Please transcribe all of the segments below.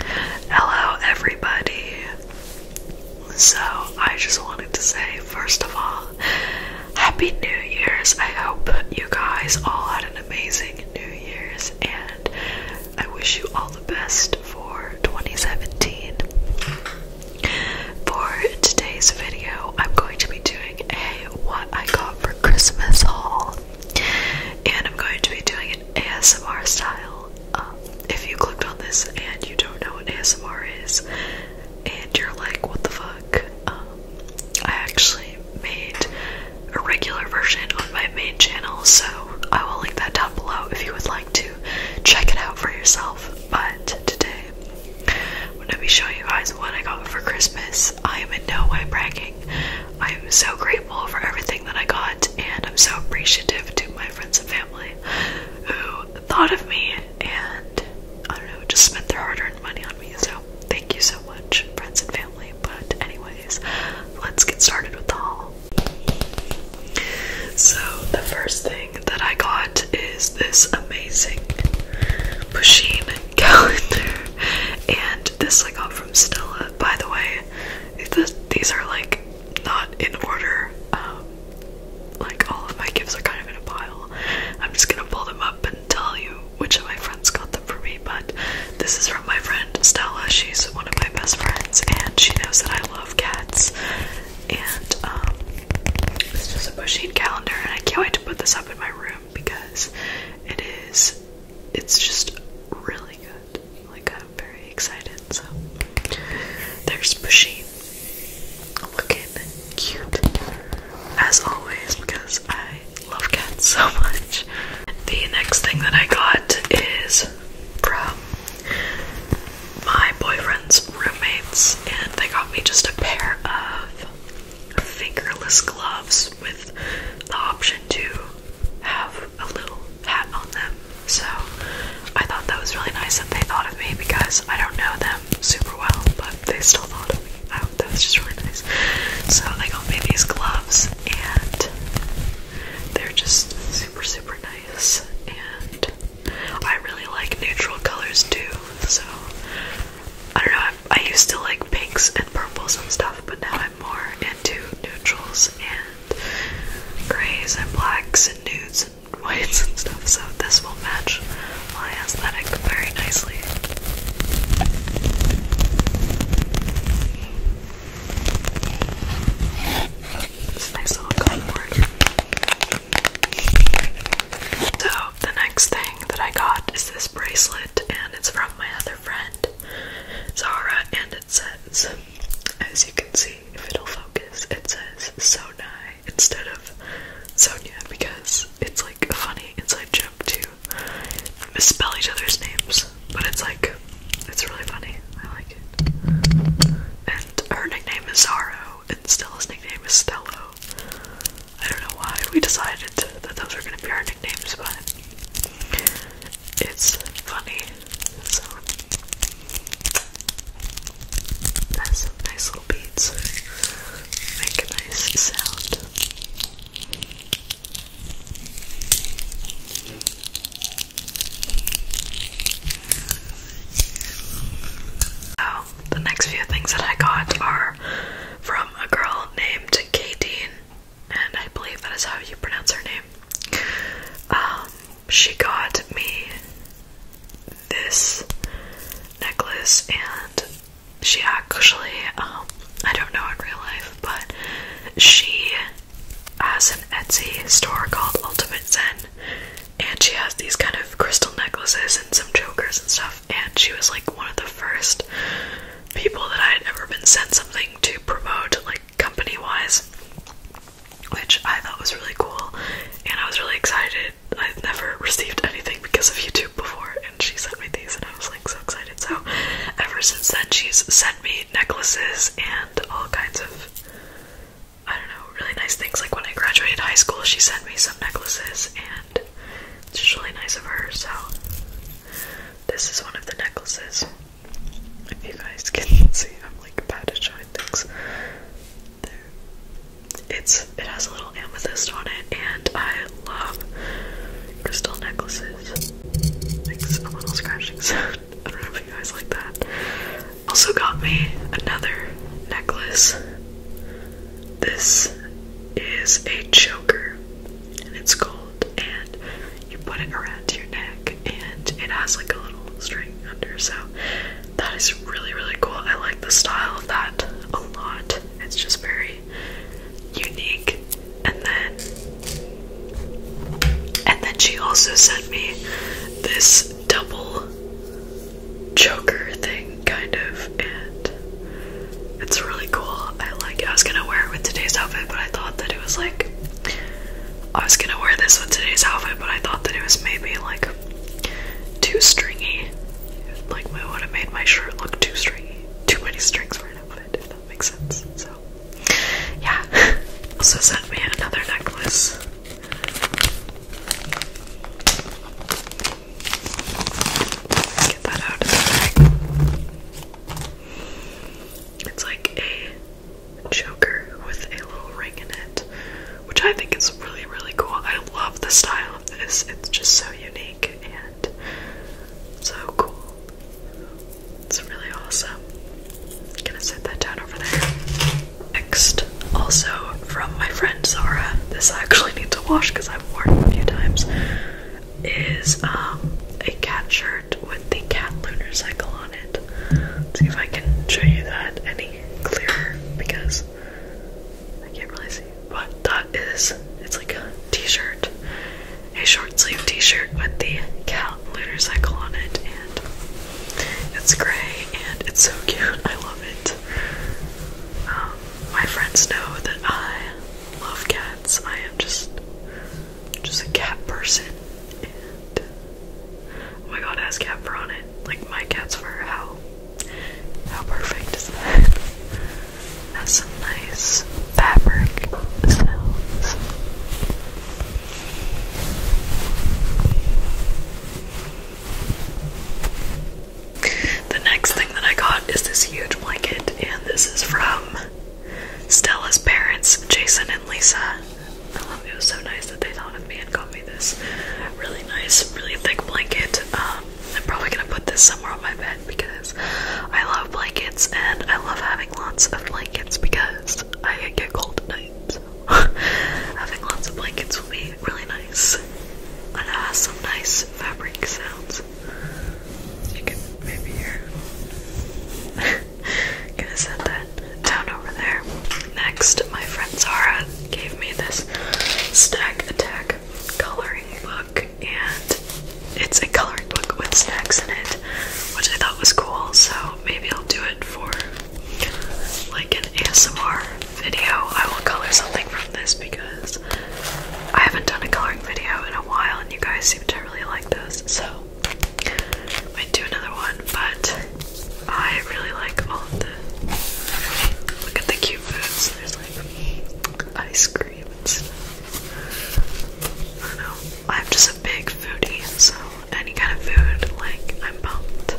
Hello, everybody. So, I just wanted to say, first of all, Happy New Year's. I hope you guys all had an amazing New Year's, and I wish you all the best for 2017. For today's video, I'm going to be doing a What I Got for Christmas haul, and I'm going to be doing an ASMR style um, if you clicked on this and you don't know what ASMR is, and you're like, what the fuck? Um, I actually made a regular version on my main channel, so I will link that down below if you would like to check it out for yourself. But today, I'm going to be showing you guys what I got for Christmas. I am in no way bragging. I am so grateful for everything that I got, and I'm so appreciative to my friends and family who thought of me and I don't know, just spent their hard earned money on me. So, thank you so much, friends and family. But, anyways, let's get started with the haul. So, the first thing that I got is this amazing Pusheen calendar, and this I got from Stella. By the way, these are like not in order. Um, like all of my gifts are kind of in a pile. I'm just gonna pull them up and tell you which of my friends got them for me. But this is from my friend Stella. She's one of my best friends, and she knows that I love cats. And um, it's just a bushing calendar, and I can't wait to put this up in my room because it is. It's just really good. Like I'm very excited. So there's Bushy, looking cute as always because I love cats so much. The next thing that I got is from my boyfriend's roommates, and they got me just a pair of fingerless gloves with the option to have a little hat on them. So I thought that was really nice that they thought of me because I don't know them super well, but they still thought of me. I, that was just really nice. So I got me these gloves and they're just super super nice and I really like neutral colors too, so I don't know, I, I used to like pinks and purples and stuff, but now I'm more into neutrals and grays and blacks and nudes and whites and stuff, so this will match my aesthetic very nicely. nice little cardboard. So, the next thing that I got is this bracelet, and it's from my other friend, Zara, and says, as you can see, if it'll focus, it says Sonai instead of Sonia because it's like a funny inside joke to misspell each other's names, but it's like, it's really funny. I like it. And her nickname is Zaro, and Stella's nickname is Stello. I don't know why we decided that those were gonna be our nicknames, but it's funny. So some nice little beats. Make a nice sound. Oh, the next few things that I got are from a girl named Katie and I believe that is how you pronounce her name. Um, she got me this necklace, and she actually, um, I don't know in real life, but she has an Etsy store called Ultimate Zen, and she has these kind of crystal necklaces and some jokers and stuff, and she was like one of the first people that I had ever been sent something to promote, like company wise, which I thought was really cool, and I was really excited. I've never received anything because of YouTube before, and she sent me these, and I was like so excited. So, ever since then, she's sent me necklaces and all kinds of I don't know, really nice things. Like when I graduated high school, she sent me some necklaces, and it's just really nice of her. So, this is one of the necklaces. If you guys can see, I'm like bad at showing things. It's it has a little amethyst on it, and I love crystal necklaces. Makes a little scratching I don't know if you guys like that. Also got me another necklace. This is a choker and it's gold, and you put it around your neck, and it has like a little string under. So that is really really cool. I like the style of that a lot. It's just very unique. And then, and then she also sent me this double choker thing, kind of, and it's really cool. I like I was gonna wear it with today's outfit, but I thought that it was like I was gonna wear this with today's outfit, but I thought that it was maybe like too stringy. Like would have made my shirt look too stringy. Too many strings for an outfit, if that makes sense. So yeah. So, send me another necklace. Get that out of the bag. It's like a Joker with a little ring in it, which I think is really, really cool. I love the style of this, it's just so unique and so cool. It's really awesome. I'm gonna set that down over there. Next, also from my friend Zara, this I actually need to wash because I've worn it a few times, is um, a catcher with the cat lunar cycle on it. see if I can show you that any clearer because I can't really see. But that is, it's like a t-shirt, a short sleeve t-shirt with the cat lunar cycle on it and it's gray and it's so cute. I love it. Um, my friends know that I love cats. I am just just a cat person. And oh my god, has cat fur on it. Like my cat's fur. How how perfect is that? That's some nice fabric sounds. The next thing that I got is this huge blanket, and this is from Stella's parents, Jason and Lisa. it. was so nice that they thought of me and got me this really nice, really thick blanket. Um, I'm probably gonna put this somewhere on my bed because I love blankets and I love having lots of blankets because I get cold at night. having lots of blankets will be really nice. And it has some nice fabric sounds this. You can maybe you're gonna set that down over there. Next, my friend Zara gave me this stack Attack coloring book, and it's a coloring book with snacks in it, which I thought was cool. So maybe I'll do it for like an ASMR video. I will color something from this because I haven't done a coloring video in a while, and you guys seem to really like those, so I might do another one, but I really like all of the look at the cute foods. There's like ice cream and stuff. I don't know. I'm just a big foodie, so any kind of food, like I'm pumped.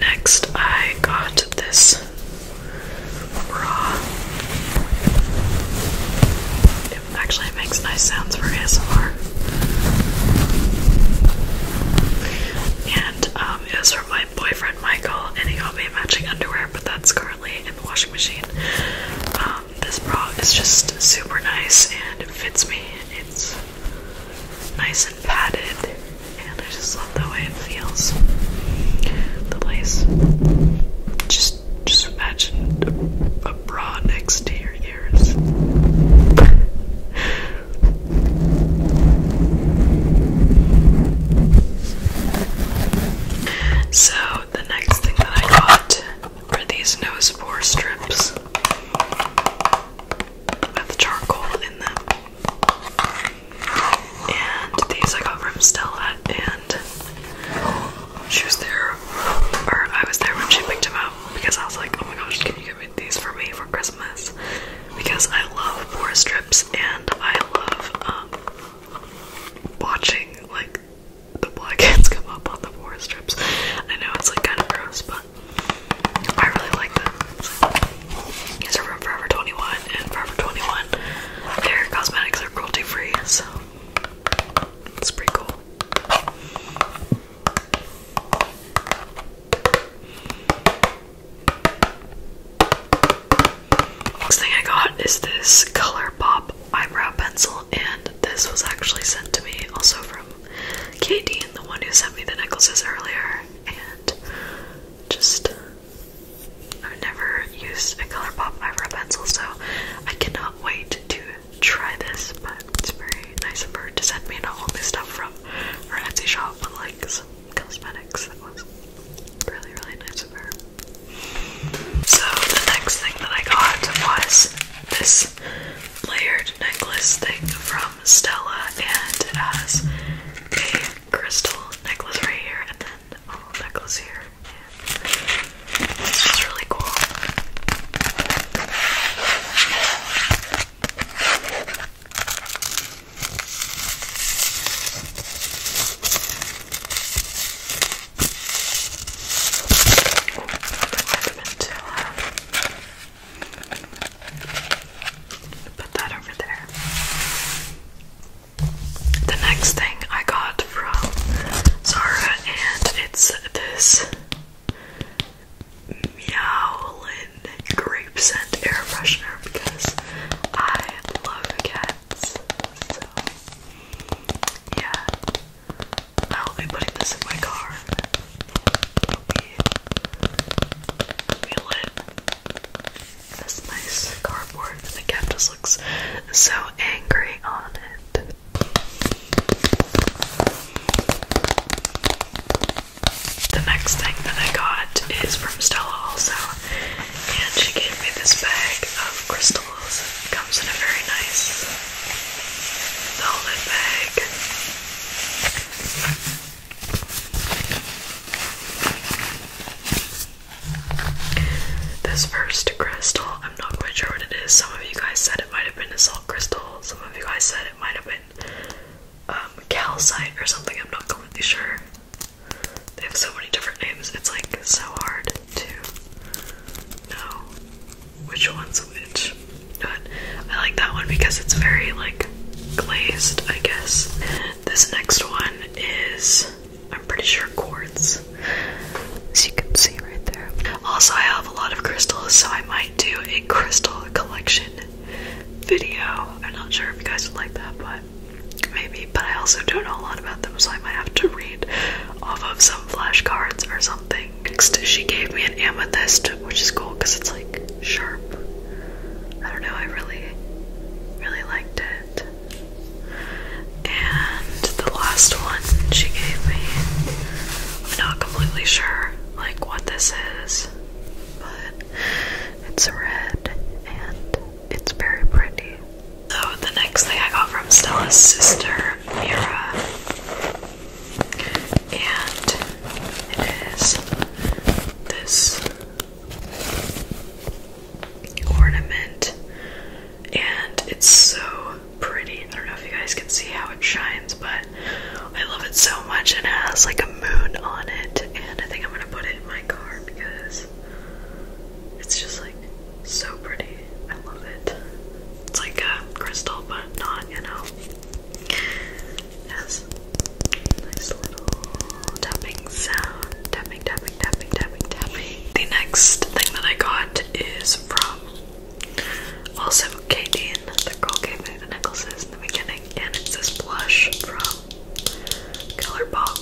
Next I got this bra. Actually, it makes nice sounds for ASMR. And um, it was from my boyfriend Michael, and he got me matching underwear, but that's currently in the washing machine. Um, this bra is just super nice and it fits me. It's nice and padded, and I just love the way it feels. The lace just just imagine a, bra next to your ears. so the next thing that I got were these nose bore strips with charcoal in them. And these I got from Stella and she was there, or I was there when she picked him up because I was like, oh my gosh, can you get me these for me for Christmas? Because I love boar strips and I love um, watching like the blackheads come up on the boar strips. I know it's like kind of gross, but I really like them. These are from Forever 21 and Forever 21. Their cosmetics are cruelty free, so it's pretty cool. Next thing I got is this Color Pop eyebrow pencil, and this was actually sent to me also from Katie, the one who sent me the necklaces earlier. And just I've never used a Color Pop eyebrow pencil, so I cannot wait to try this, but it's very nice of her to send me not only stuff from her Etsy shop, but like some cosmetics. That was really, really nice of her. So the next thing that I got was this layered necklace thing from Stella, and it has a crystal necklace right here, and then and a little here. And this is really cool. Put that over there. The next thing I got from Zara, and it's this Meowlin grape scent air freshener because I love cats. So, yeah, I'll be putting this in my car. it lit. This nice car and the cat just looks so angry on it. The next thing that I got is from Stella also, and she gave me this bag of crystals. comes in a very nice velvet bag. This first crystal, I'm not quite sure what it is. Some of you guys said it might have been a salt crystal, some of you guys said it might have been um, calcite or something. I'm not completely sure. They have so many different names, it's like so hard to know which one's which. But I like that one because it's very like glazed, I guess. This next one is I'm pretty sure quartz, as you can see right there. Also, I have a lot of crystals, so I might do a crystal collection video. I'm not sure if you guys would like that, but maybe. But I also don't know a lot about them, so I might have to read off of some flashcards or something. Next, she gave me an amethyst, which is cool because it's like sharp. I don't know, I really, really liked it. And the last one she gave me, I'm not completely sure like what this is, but it's red and it's very pretty. So the next thing I got from Stella's sister, Mira, and it is this ornament, and it's so pretty. I don't know if you guys can see how it shines, but I love it so much. It has like a moon on it, and I think I'm gonna put it in my car because it's just like so pretty. I love it. It's like a crystal, but not, you know. It nice little tapping sound, tapping, tapping. The next thing that I got is from also Kaden. The girl gave me the necklaces in the beginning, and it's this blush from Color Pop,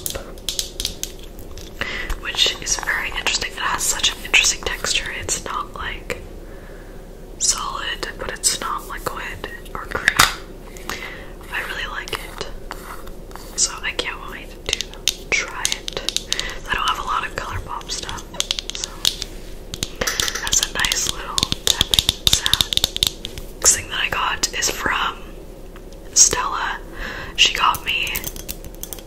which is very interesting. It has such an interesting texture. It's not like solid, but it's not liquid or cream. I really like it. So I can't wait to try it. I don't have a lot of ColourPop stuff, so that's a nice little Next thing that I got is from Stella. She got me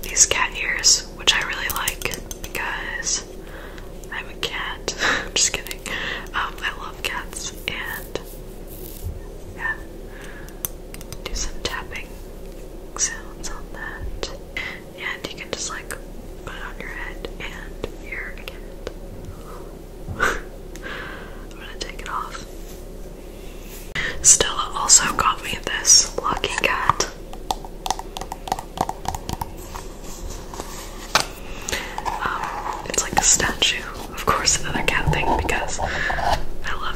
these cat ears, which I really like because I'm a cat. I'm just kidding. Um, I love cats and yeah do some tapping sounds on that. And you can just like put it on your head and you're I'm gonna take it off. Stella also got me this lucky cat. Um, it's like a statue. Of course, another cat thing because I um,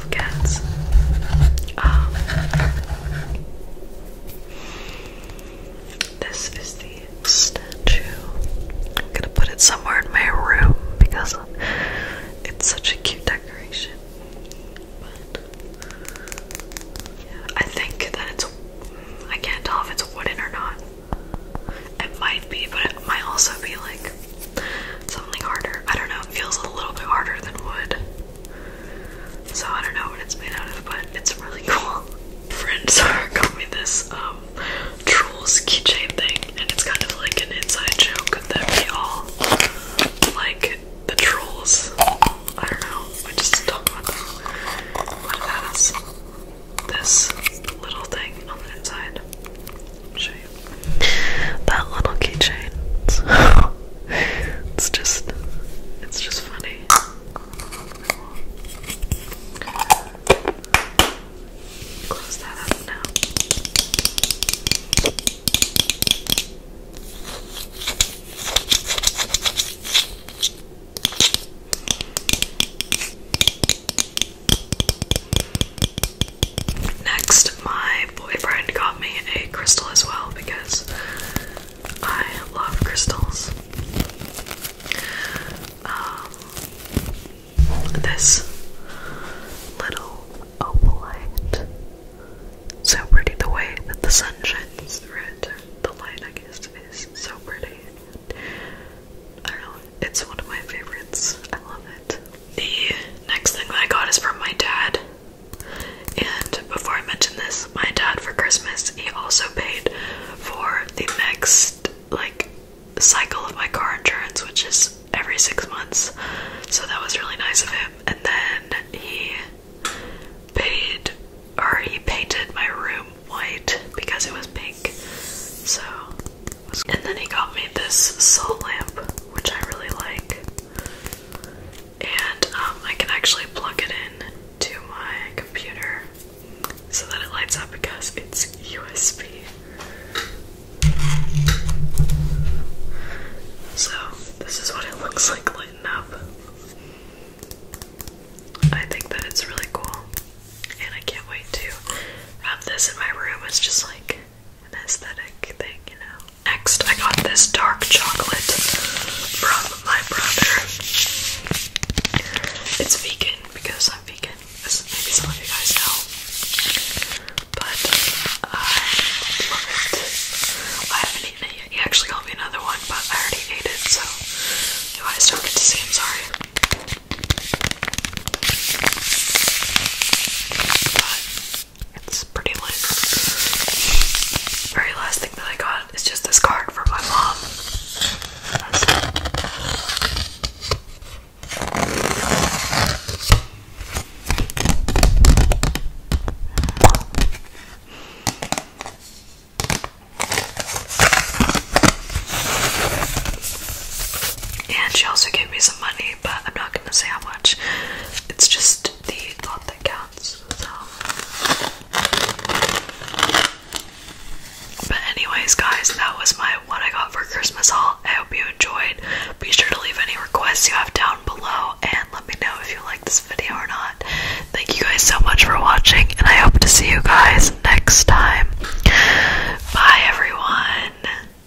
this is the statue. I'm gonna put it somewhere in my room because it's such a cute decoration. I think that it's. I can't tell if it's wooden or not. It might be, but it might also be like Something harder. I don't know, it feels a little bit harder than wood. So I don't know what it's made out of, but it's really cool. Friends got me this um, trolls keychain thing, and it's kind of like an inside joke that we all like the trolls. I don't know. I just don't know what that is. This little thing on the inside. Show that little keychain. it's just, it's just funny. Close that up now. Next, my boyfriend got me a crystal as well because I love crystals. Um, this little opalite. So pretty the way that the sun shines through it. The light, I guess, is so pretty. I know, it's one of my favorites. I love the next thing that I got is from my dad. And before I mention this, my dad for Christmas, he also paid for the next like cycle of my car insurance, which is every six months. So that was really nice of him. And then he paid or he painted my room white because it was pink. So and then he got me this salt lamp, which I really like. And um, I can actually plug it in to my computer so that it lights up because it's USB. So, this is what it looks like lighting up. I think that it's really cool. And I can't wait to have this in my room. It's just like an aesthetic thing, Next, I got this dark chocolate from my brother. It's vegan because I'm vegan, as maybe some of you guys know. But uh, I love it. I haven't eaten it yet. He actually got me another one, but I already ate it, so you guys don't get to see. I'm sorry. But it's pretty lit. Very last thing that I got is just this card from my mom. And she also gave me some money, but I'm not gonna not gonna say how much. It's just the thought that counts. But anyways, guys, that was my what I got for Christmas haul. I hope you enjoyed. Be sure to leave any requests you have down below and let me know if you like this video or not. Thank you guys so much for watching, and I hope to see you guys next time. Bye, everyone.